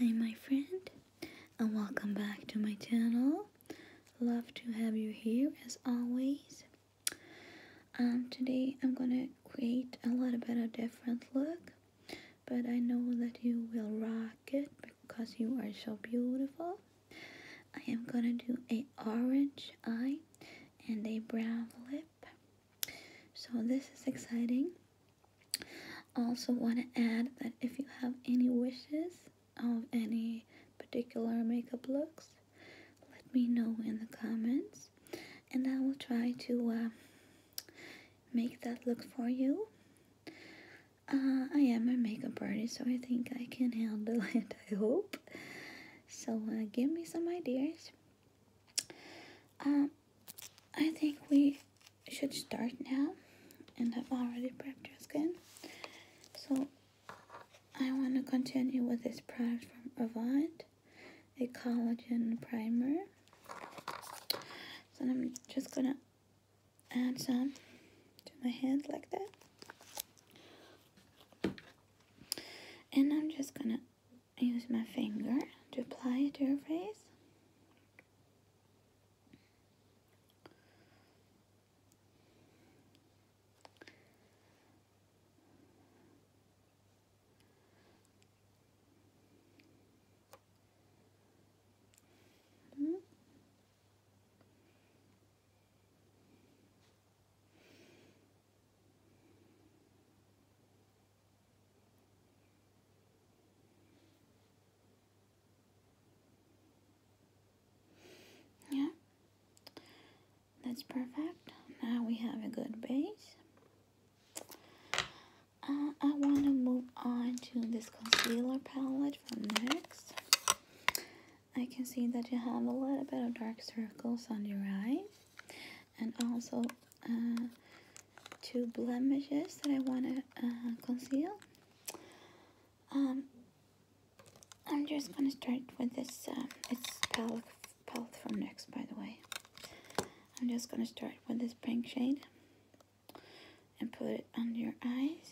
Hi my friend and welcome back to my channel. Love to have you here as always. Um, today I'm gonna create a little bit of different look, but I know that you will rock it because you are so beautiful. I am gonna do a orange eye and a brown lip. So this is exciting. Also want to add that if you have any wishes of any particular makeup looks, let me know in the comments and I will try to uh, make that look for you. Uh, I am a makeup artist, so I think I can handle it, I hope. So uh, give me some ideas. I think we should start now and I've already prepped your skin. So I want to continue with this product from Avant, a collagen primer. So I'm just going to add some to my hand like that. And I'm just going to use my finger to apply it to your face. Mm -hmm. Yeah, that's perfect. Now we have a good base. Uh, I want to move on to this concealer palette from NYX. I can see that you have a little bit of dark circles on your eye, And also uh, two blemishes that I want to uh, conceal. Um, I'm just gonna start with this. Um, palette, palette from NYX, by the way. I'm just gonna start with this pink shade and put it under your eyes.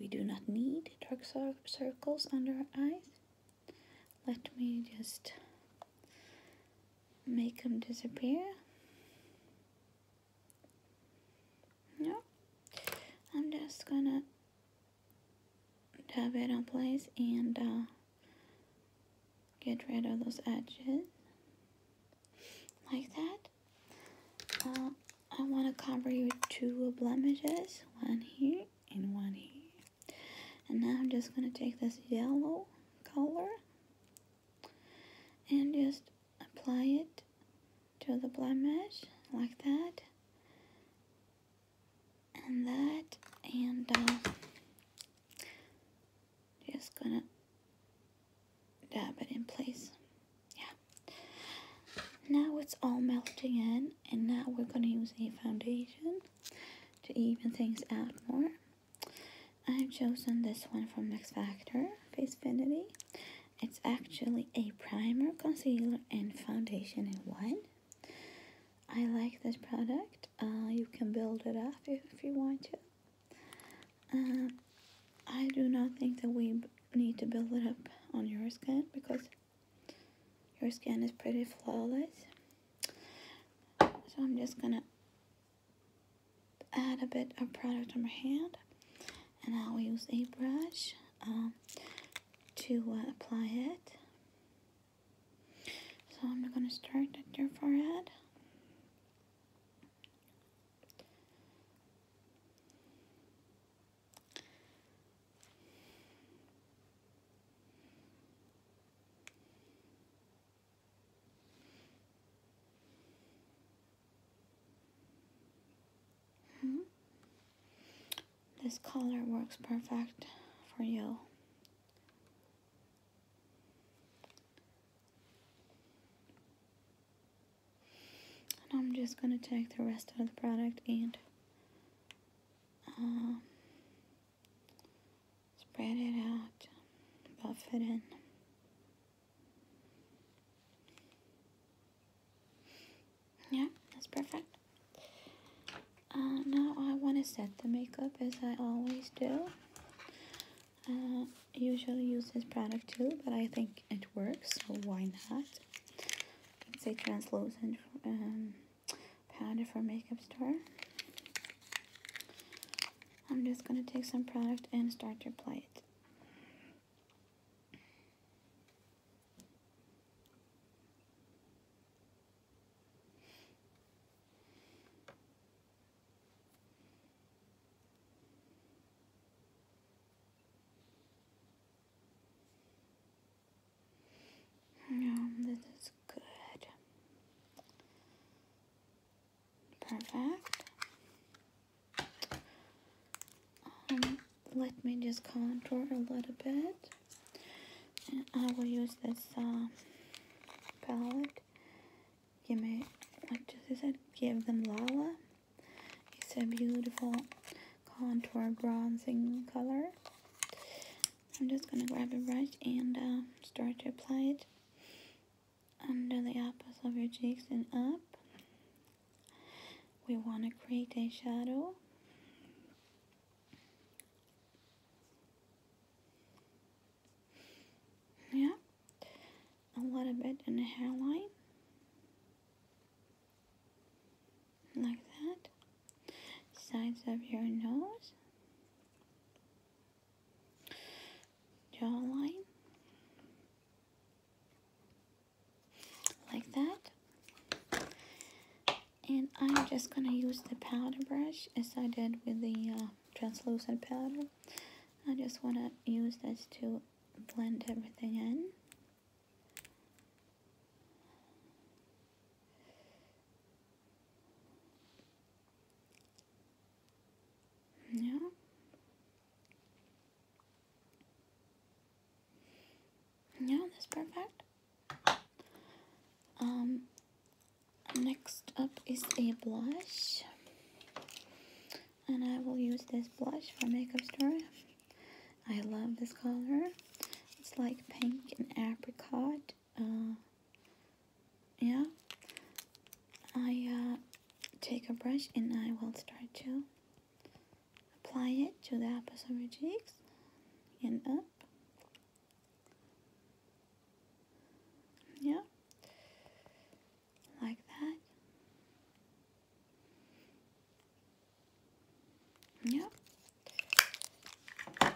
We do not need dark circles under our eyes. Let me just make them disappear. No. I'm just gonna dab it in place and uh, get rid of those edges like that. Uh, I want to cover your two blemishes, one here and one here. And now I'm just going to take this yellow color and just apply it to the mesh like that and that and um, just gonna dab it in place yeah now it's all melting in and now we're gonna use a foundation to even things out more I've chosen this one from Max Factor Face Finity it's actually a primer, concealer, and foundation in one. I like this product. Uh, you can build it up if, if you want to. Uh, I do not think that we need to build it up on your skin because your skin is pretty flawless. So I'm just gonna add a bit of product on my hand and I'll use a brush um, to uh, apply it. So I'm going to start at your forehead. Mm-hmm. This color works perfect for you. And I'm just going to take the rest of the product and um, spread it out, buff it in. Yeah, that's perfect. Uh, now I want to set the makeup as I always do. Uh, usually use this product too, but I think it works, so why not? It's a translucent um, powder for makeup store. I'm just gonna take some product and start to apply it. Yeah, this is good. Perfect. Um, let me just contour a little bit. And I will use this uh, palette. Give me, like Jesse said, give them Lala. It's a beautiful contour bronzing color. I'm just gonna grab a brush and uh, start to apply it under the apples of your cheeks and up. We want to create a shadow. Yeah, a little bit in the hairline, like that. Sides of your nose, jawline like that and I'm just gonna use the powder brush as I did with the uh, translucent powder I just want to use this to blend everything in yeah. Yeah, that's perfect. Um, next up is a blush. And I will use this blush from Makeup Store. I love this color. It's like pink and apricot. Uh, yeah I uh, take a brush and I will start to apply it to the upper side of your cheeks and up yeah like that yeah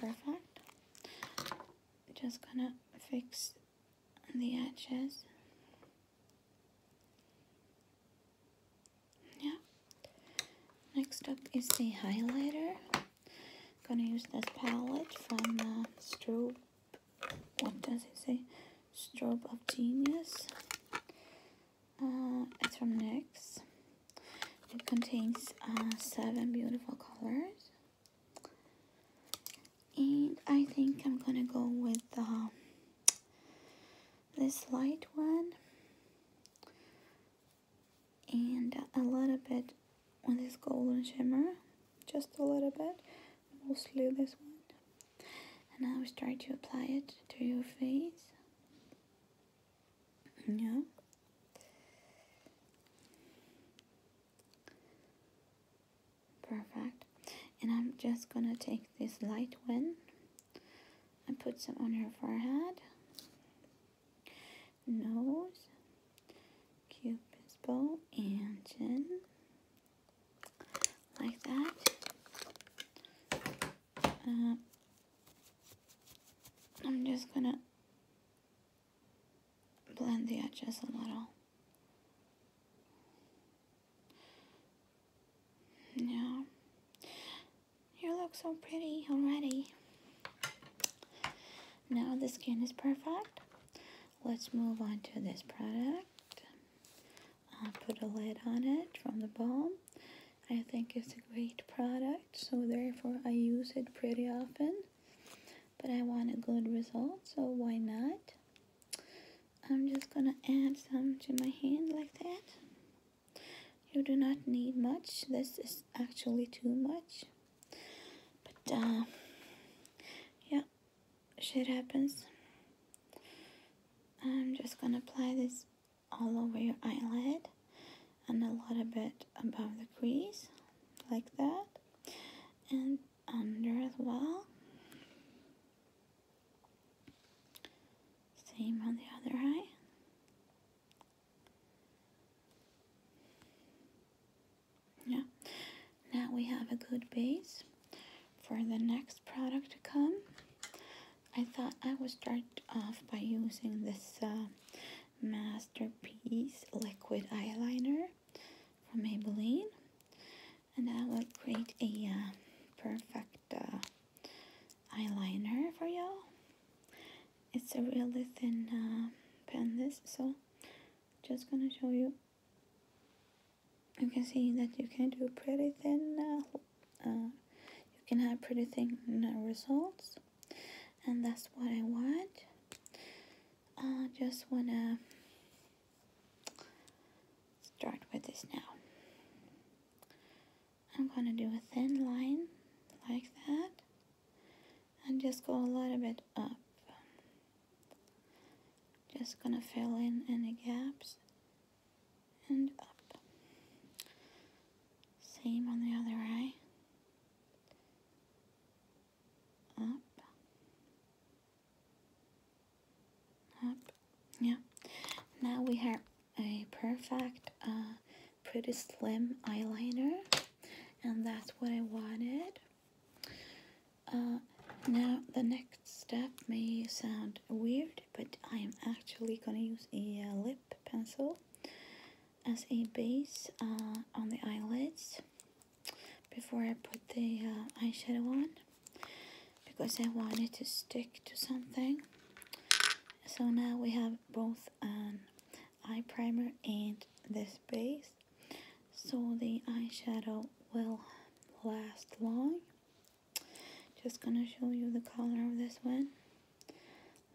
perfect just gonna fix the edges. Yeah. Next up is the highlighter. I'm gonna use this palette from uh, Strobe. What does it say? Strobe of Genius. Uh, it's from NYX. It contains uh, seven beautiful colors. And I think I'm gonna go with um, this light one. And a little bit on this golden shimmer. Just a little bit. Mostly this one. And I will start to apply it to your face. Yeah. Perfect. And I'm just gonna take this light one and put some on her forehead, nose, cupid's bow, and chin. Like that. Uh, I'm just gonna blend the edges a little. Yeah. You look so pretty already. Now the skin is perfect. Let's move on to this product. I'll put a lid on it from the balm. I think it's a great product, so therefore I use it pretty often but I want a good result, so why not? I'm just gonna add some to my hand like that. You do not need much, this is actually too much. But uh, yeah, shit happens. I'm just gonna apply this all over your eyelid and a lot of it above the crease, like that and under as well. Same on the other eye. Yeah, now we have a good base for the next product to come. I thought I would start off by using this uh, Masterpiece Liquid Eyeliner from Maybelline and I will create a uh, perfect uh, eyeliner for y'all it's a really thin uh, pen this so just gonna show you you can see that you can do pretty thin you can have pretty thin results and that's what I want I uh, just wanna start with this now. I'm gonna do a thin line like that and just go a little bit up. Just gonna fill in any gaps and up. Same on the other eye up, up. Yeah. Now we have a perfect, uh, pretty slim eyeliner, and that's what I wanted. Uh, now the next step may sound weird, but I am actually gonna use a uh, lip pencil as a base uh, on the eyelids before I put the uh, eyeshadow on because I wanted to stick to something. So now we have both an eye primer and this base so the eyeshadow will last long. Just gonna show you the color of this one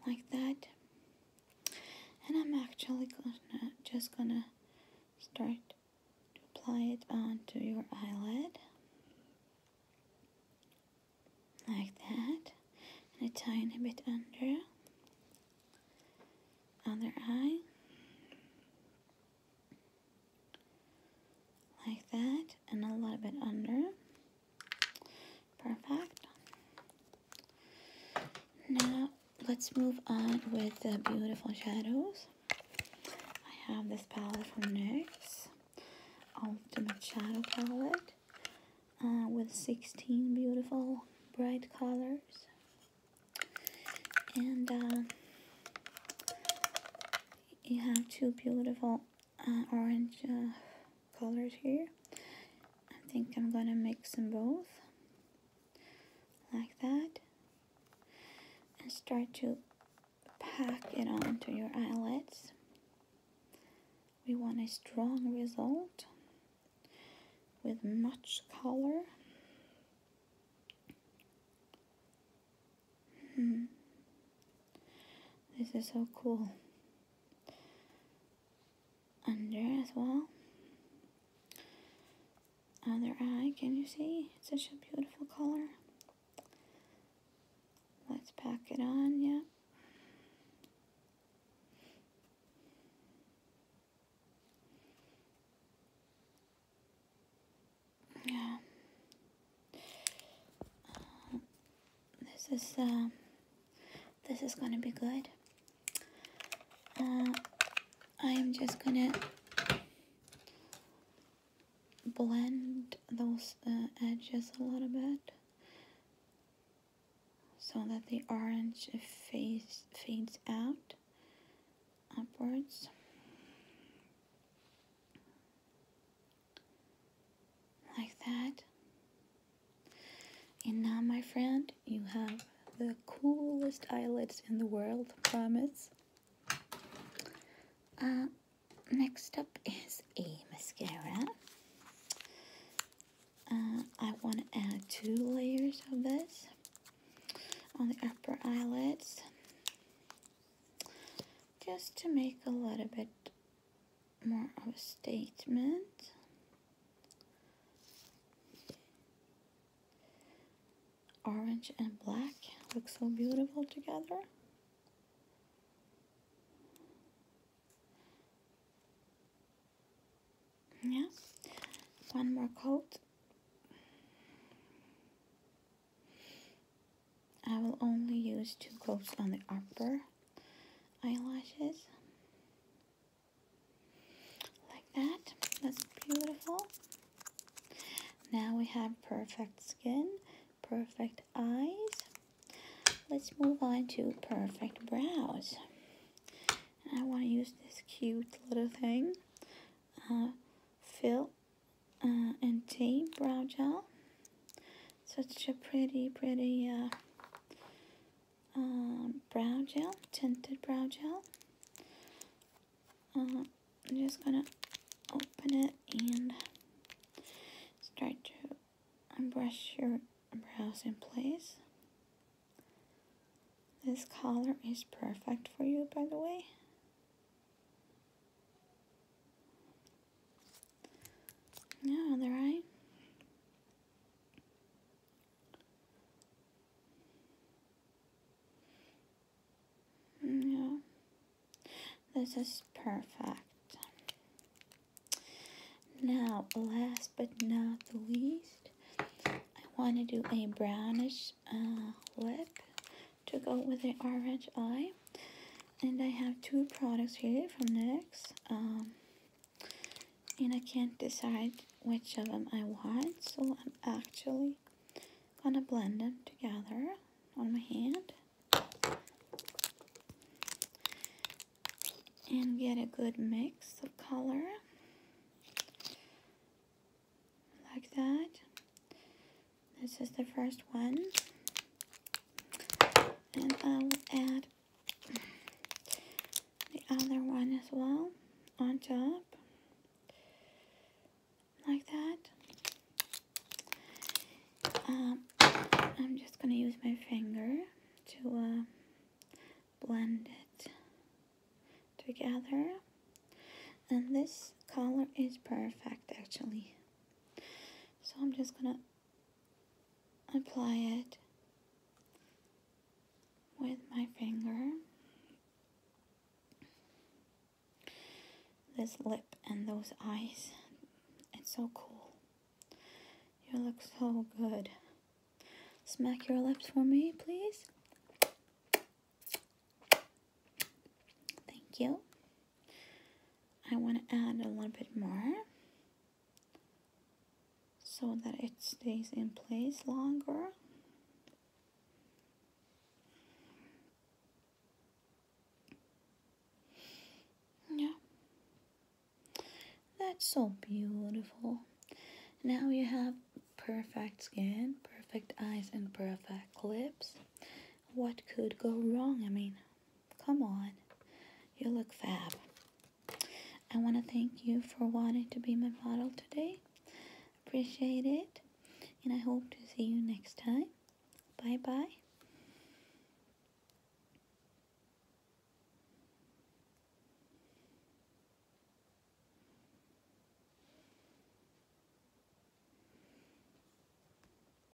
like that and I'm actually gonna, just gonna start to apply it onto your eyelid like that and a tiny bit under other eye like that and a little bit under Perfect. Now let's move on with the beautiful shadows. I have this palette from NYX, Ultimate Shadow Palette, uh, with 16 beautiful bright colors. And uh, you have two beautiful uh, orange colors here. I think I'm gonna mix them both like that and start to pack it onto your eyelids. We want a strong result with much color. Hmm. This is so cool under as well. Other eye, can you see? such a beautiful color. Let's pack it on, yeah. Yeah. This is uh, this is gonna be good. Uh, I am just gonna blend those uh, edges a little bit so that the orange face fades out upwards. Like that. And now, my friend, you have the coolest eyelids in the world, promise. Uh, next up is a mascara. Uh, I want to add two layers of this on the upper eyelids just to make a little bit more of a statement. Orange and black look so beautiful together. Yes, one more coat. I will only use two coats on the upper eyelashes like that that's beautiful now we have perfect skin perfect eyes let's move on to perfect brows I want to use this cute little thing fill uh, uh, and tape brow gel such a pretty pretty uh, um, brow gel, tinted brow gel. Um, I'm just gonna open it and start to brush your brows in place. This color is perfect for you, by the way. Yeah, they right. Mm, yeah. This is perfect. Now, last but not the least, I want to do a brownish uh, lip to go with the orange eye and I have two products here from NYX um, and I can't decide which of them I want so I'm actually gonna blend them together on my hand and get a good mix of color like that this is the first one and I will add the other one as well on top like that um, I'm just gonna use my finger to uh, blend it together and this color is perfect actually so I'm just gonna apply it with my finger, this lip and those eyes. It's so cool. You look so good. Smack your lips for me, please. Thank you. I want to add a little bit more so that it stays in place longer. Yeah. That's so beautiful. Now you have perfect skin, perfect eyes, and perfect lips. What could go wrong? I mean, Come on. You look fab. I want to thank you for wanting to be my model today. Appreciate it. And I hope to see you next time. Bye bye.